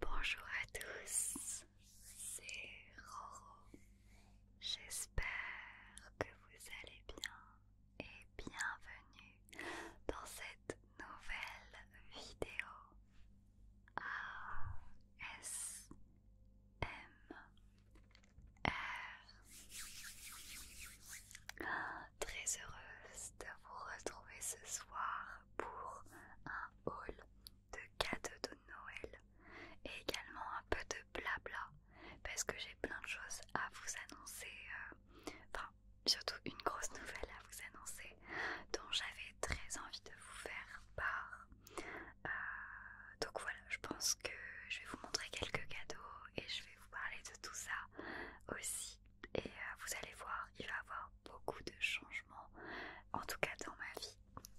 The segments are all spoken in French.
Bonjour à tous, c'est Roro. J'espère que vous allez bien et bienvenue dans cette nouvelle vidéo Très heureuse de vous retrouver ce soir pour un haul de cadeaux de Noël et également un peu de blabla parce que j'ai plein de choses à vous annoncer, euh, enfin surtout une grosse nouvelle à vous annoncer dont j'avais très envie de vous faire part. Euh, donc voilà, je pense que je vais vous montrer quelques cadeaux et je vais vous parler de tout ça aussi et euh, vous allez voir, il va y avoir beaucoup de changements, en tout cas dans ma vie,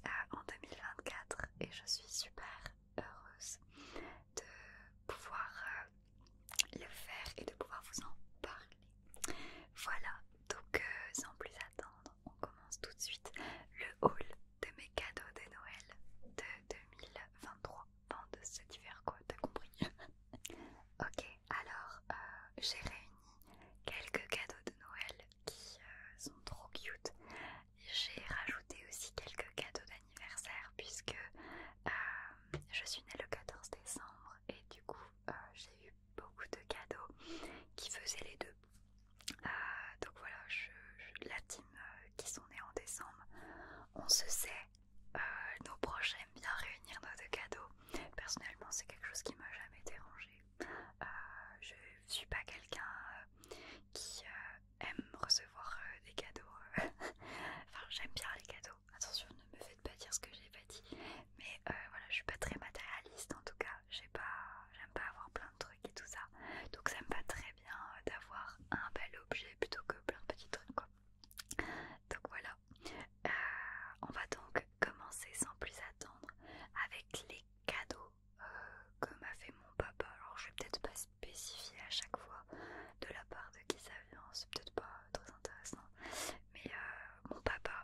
euh, en 2024 et je suis super heureuse de pouvoir euh, le faire et de pouvoir vous en parler. Voilà, donc sans plus attendre, on commence tout de suite le haul de mes cadeaux de Noël de 2023. Enfin, de cet hiver quoi, t'as compris Ok, alors euh, j'ai réuni quelques cadeaux de Noël qui euh, sont trop cute. J'ai rajouté aussi quelques cadeaux d'anniversaire puisque euh, je suis née le 14 décembre et du coup j'ai eu beaucoup de cadeaux qui faisaient les deux. donc voilà, la team qui sont nés en décembre, on se sait euh, nos proches aiment bien réunir nos deux cadeaux. Personnellement, c'est quelque chose qui m'a jamais dérangé. Euh, je suis pas quelqu'un euh, qui aime recevoir des cadeaux. enfin, j'aime bien les cadeaux. Attention, ne me faites pas dire ce que j'ai pas dit. Mais voilà, je suis pas très matérialiste en tout cas. J'aime pas, pas avoir plein de trucs et tout ça. Donc ça me va très bien d'avoir un bel objet plutôt que plein de petits trucs. Donc voilà, euh, on va donc commencer sans plus attendre avec les cadeaux euh, que m'a fait mon papa. Alors je vais peut-être pas spécifier à chaque fois de la part de qui ça vient, c'est peut-être pas trop intéressant, mais euh, mon papa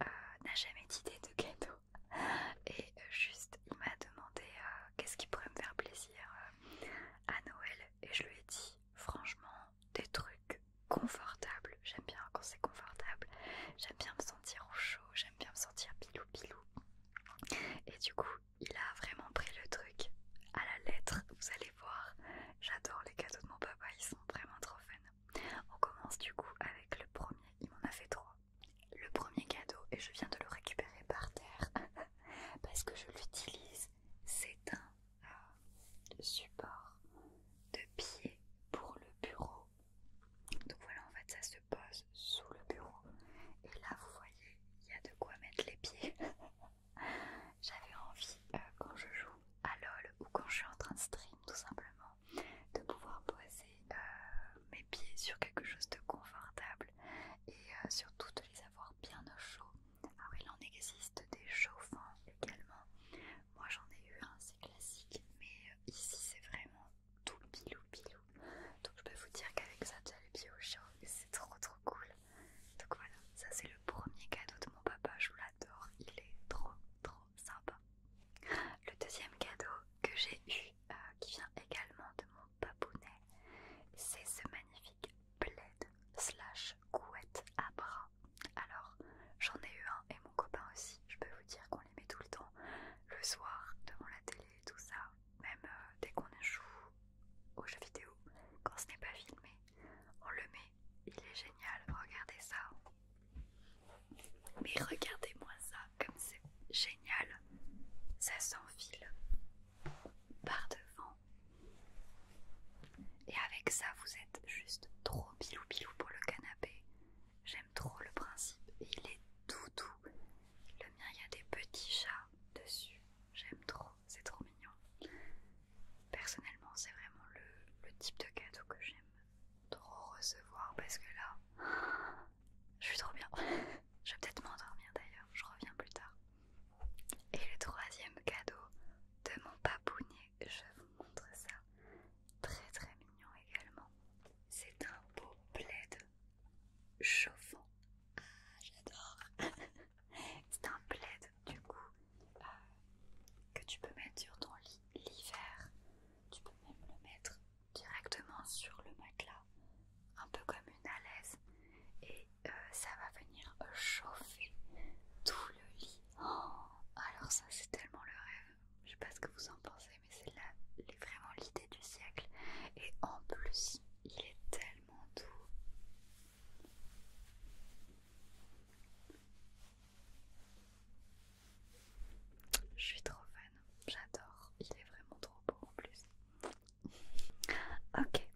n'a jamais d'idée de cadeaux et juste il m'a demandé qu'est-ce qui pourrait me faire plaisir à Noël et je lui ai dit franchement des trucs confortable. J'aime bien quand c'est confortable. J'aime bien me sentir au chaud. J'aime bien me sentir pilou pilou. Et du coup, il a vraiment pris le truc à la lettre. Vous allez voir. J'adore les cadeaux de mon papa. Ils sont vraiment trop fun. On commence du coup avec le premier. Il m'en a fait trois. Le premier cadeau et je viens de le récupérer par terre parce que je l'utilise. C'est un support de pieds pour le bureau. Donc voilà, en fait, ça se pose sous le bureau. Et là, vous voyez, il y a de quoi mettre les pieds. J'avais envie, euh, quand je joue à LOL ou quand je suis en train de stream, tout simplement, de pouvoir poser euh, mes pieds sur quelque chose de confortable et euh, surtout de les avoir bien au chaud. Alors, ah il en existe des chauffants également moi j'en ai eu un, c'est classique, mais euh, ici c'est vraiment tout bilou bilou Donc je peux vous dire qu'avec ça déjà le le au c'est trop trop cool. Donc voilà, ça c'est le premier cadeau de mon papa, je l'adore, il est trop trop sympa. Le deuxième cadeau que j'ai eu, euh, qui vient également de mon papounet, c'est ce magnifique plaid slash couette à bras. Alors, j'en ai eu un et mon copain aussi. Je peux vous dire qu'on les met tout le temps le soir devant la télé et tout ça. Même euh, dès qu'on joue aux jeux vidéo, quand ce n'est pas filmé, on le met. Il est génial. Regardez ça. Mais regardez-moi ça, comme c'est génial. Ça s'enfile par devant. Et avec ça, vous êtes juste trop bilou bilou pour le canapé. J'aime trop le principe il est tout doux. Le mien, il y a des petits chats dessus. J'aime trop, c'est trop mignon. Personnellement, c'est vraiment le, le type de cadeau que j'aime trop recevoir parce que là, je suis trop bien. je vais peut-être m'endormir d'ailleurs, je reviens plus tard. Et le troisième cadeau de mon papounier, je vous montre ça très très mignon également. C'est un beau plaid chauffant. Ah, j'adore. C'est un plaid du coup euh, que tu peux mettre sur ton lit l'hiver. Tu peux même le mettre directement sur le matelas, un peu comme une alaise, et euh, ça va venir chauffer tout le lit Oh, alors ça c'est tellement le rêve. Je sais pas ce que vous en pensez, mais c'est vraiment l'idée du siècle. Et en plus, il est tellement doux. Je suis trop fan, j'adore. Il est vraiment trop beau en plus. Ok,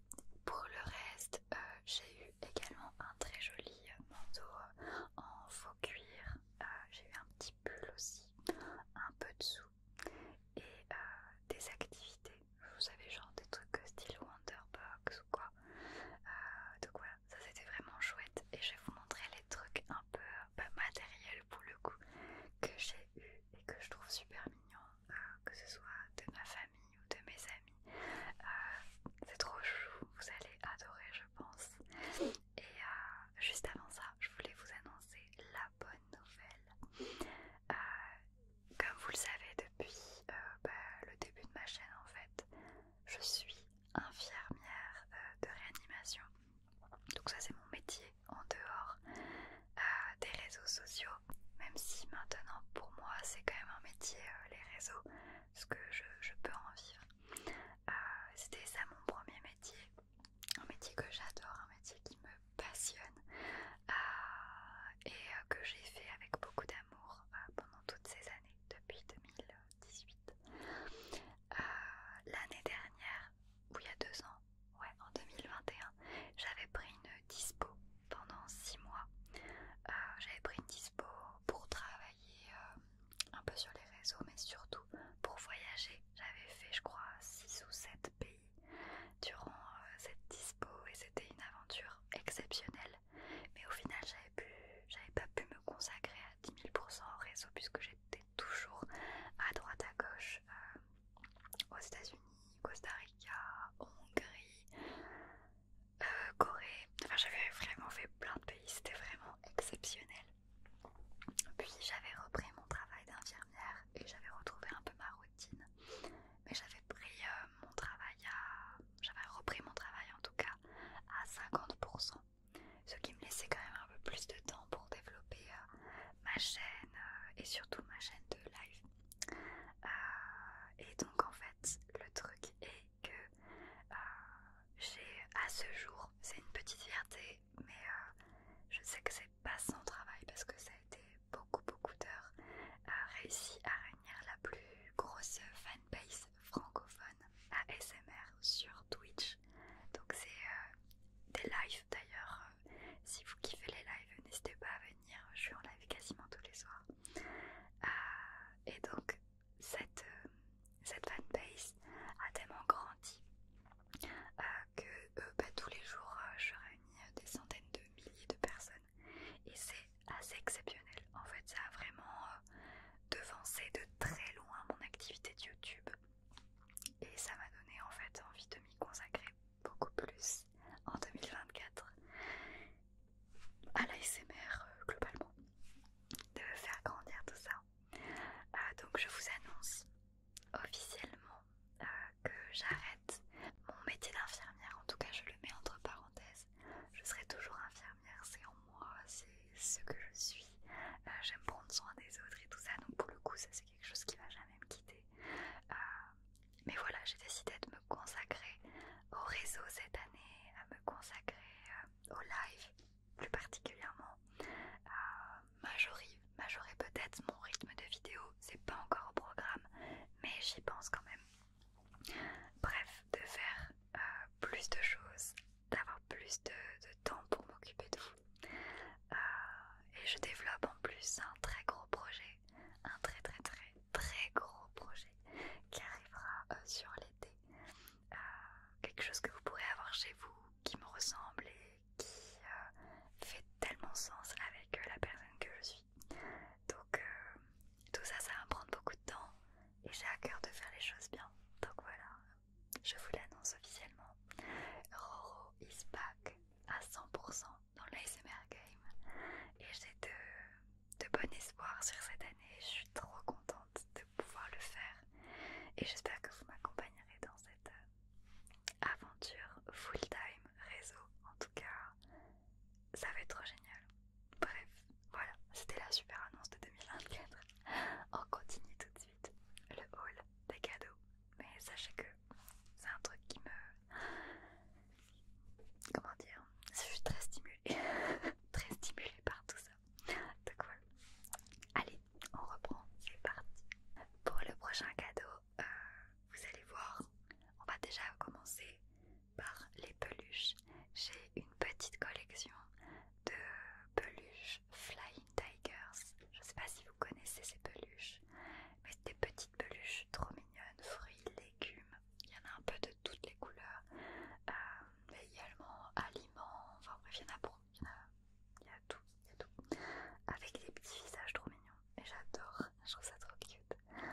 pour le reste, euh, j'ai eu également un très joli manteau euh, en faux cuir. Euh, j'ai eu un petit pull aussi, un peu de sous et euh, des activités. Vous savez, genre des trucs style Wonderbox ou quoi. donc voilà, ça c'était vraiment chouette. Et je vais vous montrer les trucs un peu matériels pour le coup que j'ai eu et que je trouve super mignon, que ce soit de ma famille ou de mes amis. C'est trop chou, vous allez adorer, pense. Et euh, juste avant ça, je voulais vous annoncer la bonne nouvelle. Euh, comme vous le savez depuis euh, bah, le début de ma chaîne en fait, je suis infirmière de réanimation. Donc ça c'est mon métier en dehors des réseaux sociaux. Même si maintenant pour moi c'est quand même un métier les réseaux ce que je, peux en vivre. Euh, c'était ça mon premier métier, un métier que j'adore, un métier qui me passionne euh, et euh, que j'ai fait avec beaucoup d'amour pendant toutes ces années, depuis 2018. L'année dernière, ou il y a deux ans, ouais, en 2021, j'avais pris une dispo pendant six mois. j'avais pris une dispo pour travailler euh, un peu sur les réseaux, mais surtout pour voyager. J'avais fait, je crois, 6 ou 7 pays durant euh, cette dispo et c'était une aventure exceptionnelle. Mais au final, j'avais pu, j'avais pas pu me consacrer à 10 000% au réseau puisque j'étais toujours à droite à gauche euh, aux États-Unis, Costa Rica, Hongrie, euh, Corée, enfin j'avais vraiment fait plein de pays, c'était vraiment exceptionnel. Puis j'avais repris mon travail d'infirmière et j'avais retrouvé un peu ma routine. Mais j'avais pris euh, mon travail à... J'avais repris mon travail en tout cas à 50%. Ce qui me laissait quand même un peu plus de temps pour développer euh, ma chaîne et surtout ma chaîne de live. et donc en fait le truc est que euh, j'ai à ce jour, c'est une petite fierté, mais euh, je sais que c'est pas sans travail parce que ça a été beaucoup beaucoup d'heures, à réussi à réunir la plus grosse fanbase francophone à SMR sur Twitch. Donc c'est euh, des lives d'ailleurs, si vous kiffez les lives n'hésitez pas à venir, je suis en live quasiment tous les soirs. et donc euh, cette, fanbase a tellement grandi euh, que euh, bah, tous les jours je réunis des centaines de milliers de personnes et c'est assez exceptionnel. En fait, ça a vraiment devancé de très loin mon activité de YouTube et ça m'a donné en fait envie de m'y consacrer beaucoup plus en 2024 à l'ASMR globalement, de faire grandir tout ça euh, donc je vous annonce officiellement euh, que j'arrête mon métier d'infirmière, en tout cas je le mets entre parenthèses. Je serai toujours infirmière, c'est en moi, c'est ce que je suis. Euh, j'aime prendre soin des autres et tout ça, donc pour le coup ça c'est quelque chose qui va jamais me quitter. mais voilà, j'ai décidé de me consacrer au réseau cette année, à me consacrer au live plus particulièrement. Euh, majorer, peut-être mon rythme de vidéo, c'est pas encore au programme, mais j'y pense quand même. Bref, de faire euh, plus de choses, d'avoir plus de, temps pour m'occuper de vous. Euh, et je développe en plus un très gros projet, un très très très très gros projet qui arrivera euh, sur l'été. Euh, quelque chose que vous pourrez avoir chez vous qui me ressemble et qui euh, fait tellement sens avec euh, la personne que je suis. Donc tout ça, ça va prendre beaucoup de temps et j'ai à cœur de faire les choses bien. Donc voilà, je vous l'annonce officiellement. Roro is back à 100% dans l'ASMR Game et j'ai de, de bon espoir sur cette année. Je suis trop contente de pouvoir le faire. Et j'espère que vous m'accompagnerez dans cette euh, aventure full-time réseau. En tout cas, ça va être trop génial. Bref, voilà, c'était la super annonce de 2024. On continue tout de suite le haul des cadeaux. Mais sachez que c'est un truc qui me... Comment dire Je suis très stimulée. très stimulée par tout ça. Allez, on reprend, c'est parti. Pour le prochain cadeau, euh, vous allez voir, on va déjà commencer par les peluches. J'ai une petite collection de peluches Flying Tigers. Je ne sais pas si vous connaissez ces peluches, mais c'est des petites peluches trop mignonnes, fruits, légumes. Il y en a un peu de toutes les couleurs, euh, également aliments, enfin il y en il y, a, tout, il y a tout. Avec des petits visages trop mignons, et j'adore, je trouve ça trop cute. Euh,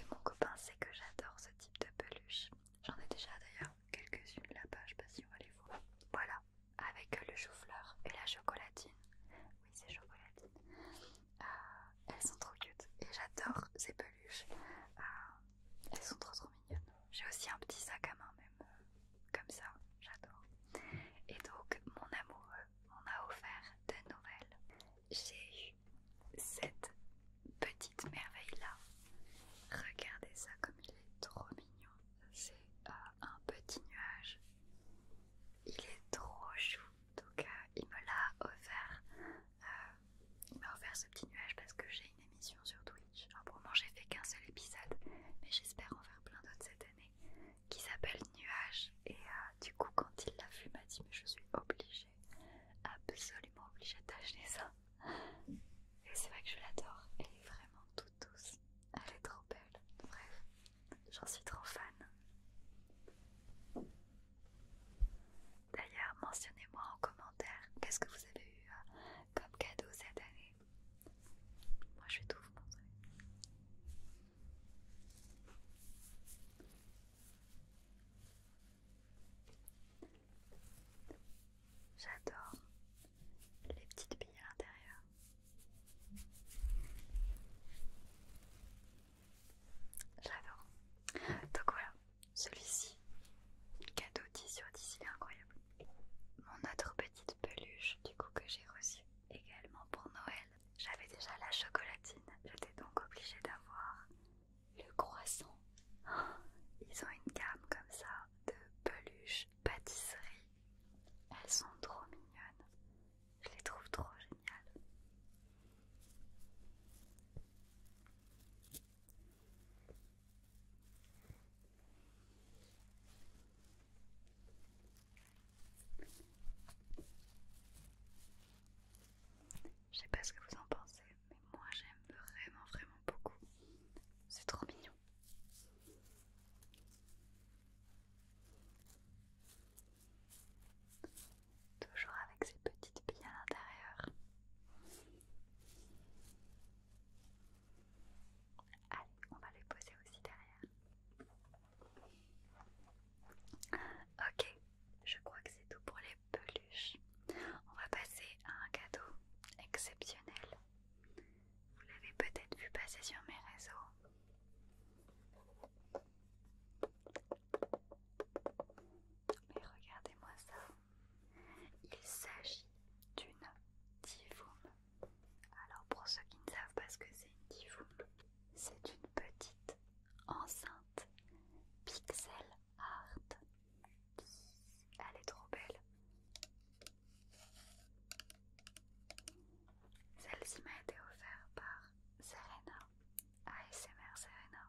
et mon copain sait que j'adore ce type de peluche. J'en ai déjà d'ailleurs quelques-unes là-bas, je sais pas si on va les voir. Voilà, avec le chou-fleur et la chocolatine. Oui, c'est chocolatine. Euh, elles sont trop cute et j'adore ces peluches. Euh, elles sont trop trop mignonnes. J'ai aussi un petit sac à main même, euh, comme ça, j'adore. Et donc mon amoureux m'en a offert de nouvelles. J'ai eu cette petite merveille là. Regardez ça comme il est trop mignon. C'est euh, un petit nuage. Il est trop chou. Donc il me l'a offert. Euh, il m'a offert ce petit nuage parce que j'ai une émission sur Twitch. pour le moment, j'ai fait qu'un seul épisode, mais j'espère en faire plein d'autres cette année, qui s'appelle Nuages. Et euh, du coup, quand il l'a vu, il m'a dit Mais je suis obligée, absolument obligée d'acheter ça. Et c'est vrai que je l'adore, elle est vraiment toute douce, elle est trop belle. Bref, j'en suis trop fan. D'ailleurs, mentionnez-moi en commentaire qu'est-ce que vous avez eu euh, comme cadeau cette année. Moi je vais tout vous montrer. J'adore les petites billes à l'intérieur. J'adore. Donc voilà, celui-ci, cadeau 10 sur 10, il est incroyable. Mon autre petite peluche, du coup, que j'ai reçue également pour Noël, j'avais déjà la chocolatine. J'étais donc obligée d'avoir le croissant. Oh, ils ont une gamme comme ça de peluches pâtisserie. Elles sont trop mignonnes. Je les trouve trop géniales. Je sais pas ce que vous en pensez, mais moi j'aime vraiment vraiment beaucoup. C'est trop mignon. Toujours avec ses petites billes à l'intérieur. Allez, on va les poser aussi derrière. Ok, je crois que c'est tout pour les peluches. On va passer à un cadeau exceptionnel. Vous l'avez peut-être vu passer sur mes réseaux. Mais regardez-moi ça. Il s'agit d'une divoum. Alors pour ceux qui ne savent pas ce que c'est une divoum, c'est une petite enceinte pixel art. Elle est trop belle. Celle-ci m'a été offerte par Serena, ASMR Serena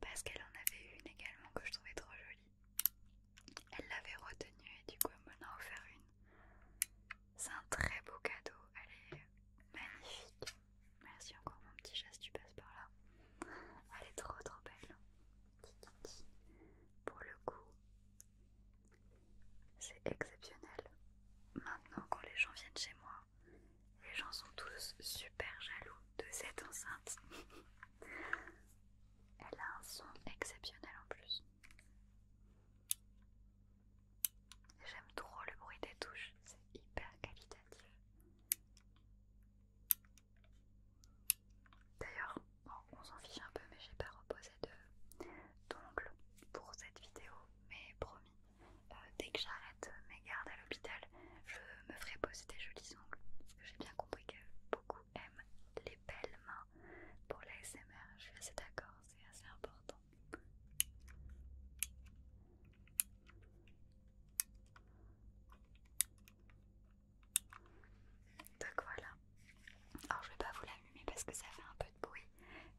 parce qu'elle en avait une également que je trouvais trop jolie. Elle l'avait retenue et du coup elle m'en a offert une. C'est un très beau cadeau, elle est magnifique. Merci encore mon petit chat si tu passes par là. Elle est trop trop belle. Pour le coup, c'est exceptionnel. Maintenant quand les gens viennent chez moi, les gens sont tous super jaloux de cette enceinte. Elle a un son exceptionnel en plus. J'aime trop le bruit des touches, c'est hyper qualitatif. D'ailleurs, on s'en fiche un peu, mais j'ai pas reposé de d'ongles pour cette vidéo. Mais promis, euh, dès que j'arrête mes gardes à l'hôpital, je me ferai poser des jolis ongles. parce que J'ai bien compris que beaucoup aiment les belles mains pour l'ASMR. Je suis assez d'accord, c'est assez important. Donc voilà. Alors je vais pas vous l'allumer parce que ça fait un peu de bruit,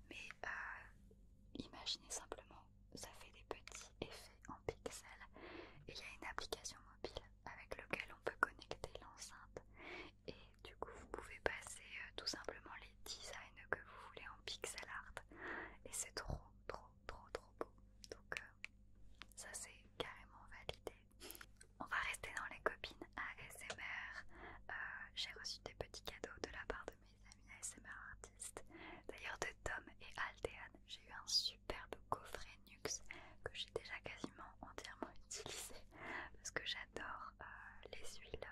mais euh, imaginez simplement, ça fait des petits effets en pixels. Et il y a une application mobile avec lequel on peut connecter l'enceinte et du coup vous pouvez passer euh, tout simplement les designs que vous voulez en pixel art et c'est trop trop trop trop beau donc euh, ça c'est carrément validé on va rester dans les copines ASMR euh, j'ai reçu des petits cadeaux de la part de mes amis ASMR artistes d'ailleurs de Tom et Aldean j'ai eu un superbe coffret nu que j'ai déjà quasiment entièrement utilisé parce que j'adore euh, les huiles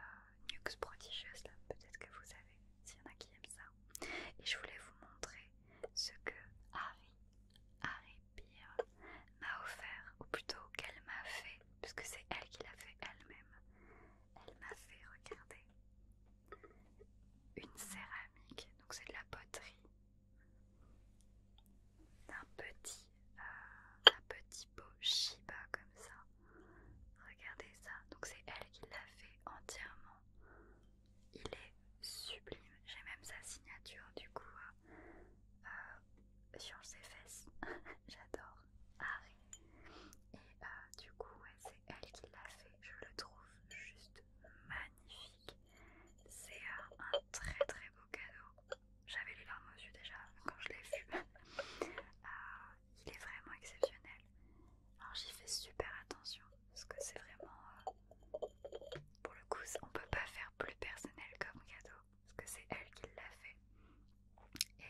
Nuxe euh, Nux prodigieuses, peut-être que vous savez s'il y en a qui aiment ça. Et je voulais vous montrer ce que Harry, Harry Beer m'a offert, ou plutôt qu'elle m'a fait, parce que c'est elle qui l'a fait elle-même. Elle m'a fait regarder une céramique, donc c'est de la poterie un petit, euh, beau Shiba comme ça. Regardez ça. Donc c'est elle qui l'a fait entièrement. Il est sublime. J'ai même sa signature du coup hein, euh, sur ses fesses. J'adore. Harry. Ah Et euh, du coup c'est elle qui l'a fait. Je le trouve juste magnifique. C'est un très très beau cadeau. J'avais les larmes aux yeux déjà quand je l'ai vu. Euh, il est vraiment exceptionnel. Alors j'y fais super attention parce que c'est vraiment... Euh, pour le coup, on peut pas faire plus personnel comme cadeau parce que c'est elle qui l'a fait. Et,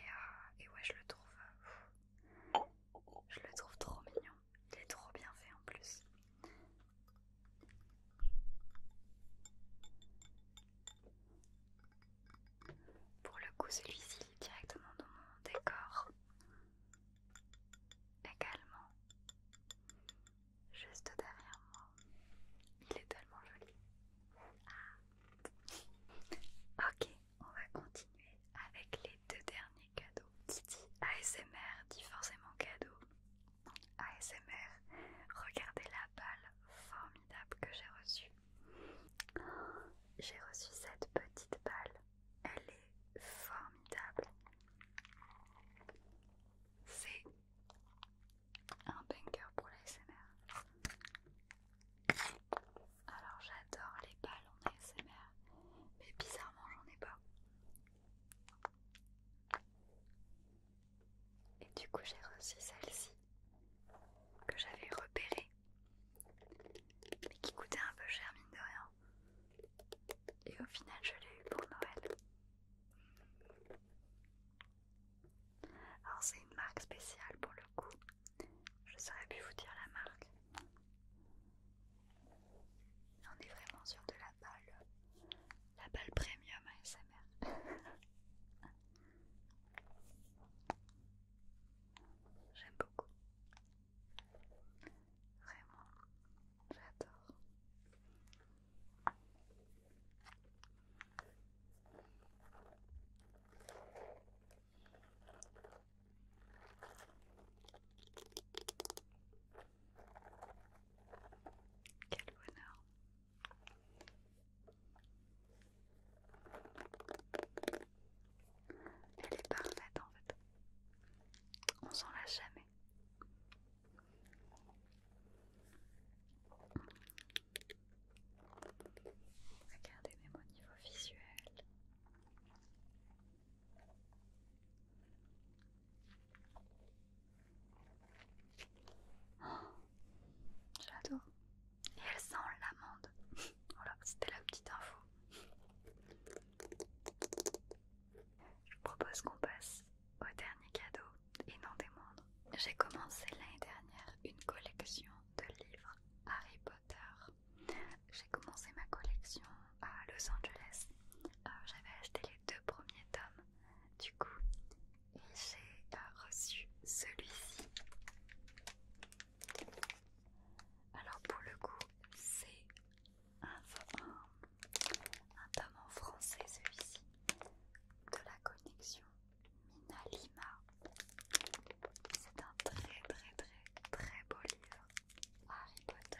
euh, ouais, je le trouve... je le trouve trop mignon. Il est trop bien fait en plus. Pour le coup, celui-ci est directement dans mon décor. Également, juste derrière moi. Il est tellement joli. Ah. Ok, on va continuer avec les deux derniers cadeaux. Qui ASMR dit forcément cadeau. ASMR. Regardez la balle formidable que j'ai reçue. J'ai reçu cette petite balle. Elle est formidable. C'est un bunker pour l'ASMR. Alors j'adore les balles en ASMR, mais bizarrement j'en ai pas. Et du coup, j'ai reçu celle-ci que j'avais repérée, mais qui coûtait un peu cher, mine de rien. Et au final, je l'ai eu pour Noël. Alors, c'est une marque spéciale pour le coup. Je saurais plus vous dire la marque. On est vraiment sur de la balle la balle premium ASMR. J'aime beaucoup. Vraiment, j'adore. Quel bonheur. Elle est parfaite en fait. On s'en lasse jamais. Regardez même au niveau visuel. J'adore. Et elle sent l'amande. voilà, c'était la petite info. Je propose qu'on passe au dernier cadeau et non des mondes. J'ai commencé l'année dernière une collection de livres Harry Potter. J'ai commencé ma collection à Los Angeles. Euh, j'avais acheté les deux premiers tomes du coup j'ai euh, reçu celui-ci alors pour le coup c'est un, tome en français celui-ci de la connexion Mina Lima c'est un très très très très beau livre Harry Potter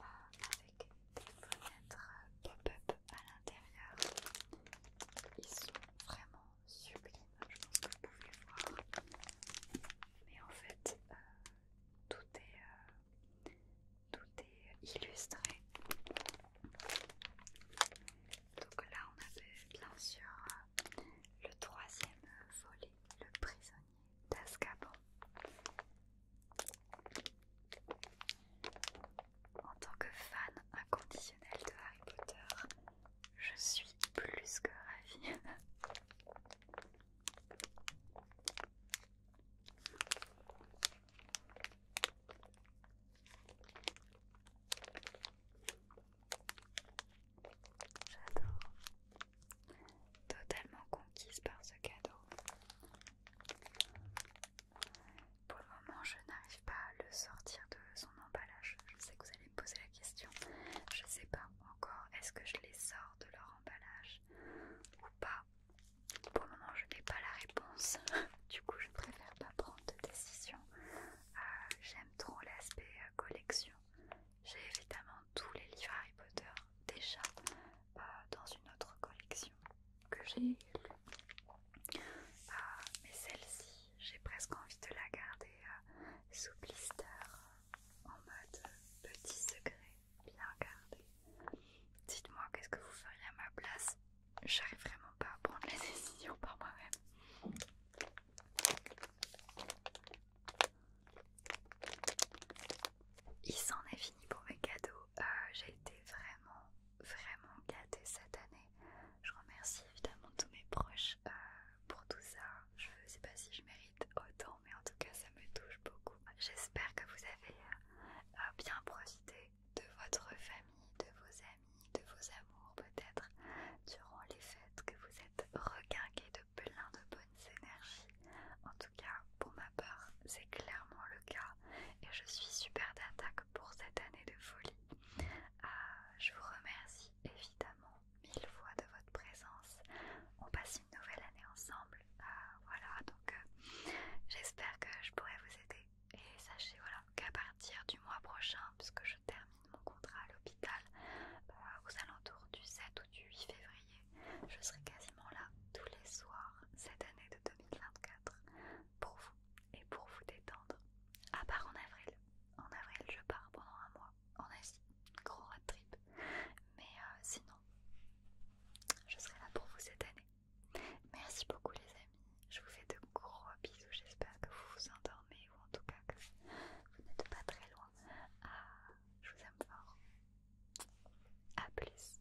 euh, avec des fenêtres pop-up à l'intérieur. Ils sont vraiment sublimes, je pense que vous pouvez voir. Mais en fait, euh, tout est... Euh, tout est illustré. Donc là, on avait bien sûr euh, le troisième volet, le prisonnier d'Azkaban. En tant que fan inconditionnel de Harry Potter, je suis plus que ravie. J'adore. Totalement conquise par ce cadeau. Pour le moment, je n'arrive pas à le sortir de son emballage. Je sais que vous allez me poser la question. Je ne sais pas encore est-ce que je les sors de leur emballage ou pas. Pour le moment, je n'ai pas la réponse. Du coup, je préfère pas prendre de décision. Euh, j'aime trop l'aspect euh, collection. J'ai évidemment tous les livres Harry Potter déjà euh, dans une autre collection que j'ai lue. Ah, mais celle-ci, j'ai presque envie de la garder euh, sous blister euh, en mode euh, petit secret bien gardé. Dites-moi qu'est-ce que vous feriez à ma place. J'arrive vraiment pas à prendre la décision par moi-même. Il s'en est fini pour mes cadeaux. Euh, j'ai été vraiment, vraiment gâtée cette année. Je remercie évidemment tous mes proches euh, pour tout ça. Je ne sais pas si je mérite autant, mais en tout cas, ça me touche beaucoup. J'espère que vous avez euh, bien profité de votre famille, de vos amis, de vos amours peut-être durant les fêtes, que vous êtes requinqués de plein de bonnes énergies. En tout cas, pour ma part, c'est clairement le cas et je suis super d'attaque pour cette année de folie. Euh, je vous remercie évidemment mille fois de votre présence. On passe une nouvelle année ensemble. Euh, voilà, donc euh, j'espère que je pourrai vous aider. Et sachez voilà, qu'à partir du mois prochain, puisque je termine mon contrat à l'hôpital aux alentours du 7 ou du 8 février, je serai quasiment là tous les soirs cette année de 2024 pour vous et pour vous détendre. À part en avril. En avril, je pars pendant un mois en Asie. Gros road trip. Mais euh, sinon, je serai là pour vous cette année. Merci beaucoup, les amis. Je vous fais de gros bisous. J'espère que vous vous endormez ou en tout cas que vous n'êtes pas très loin. Ah, je vous aime fort. À plus.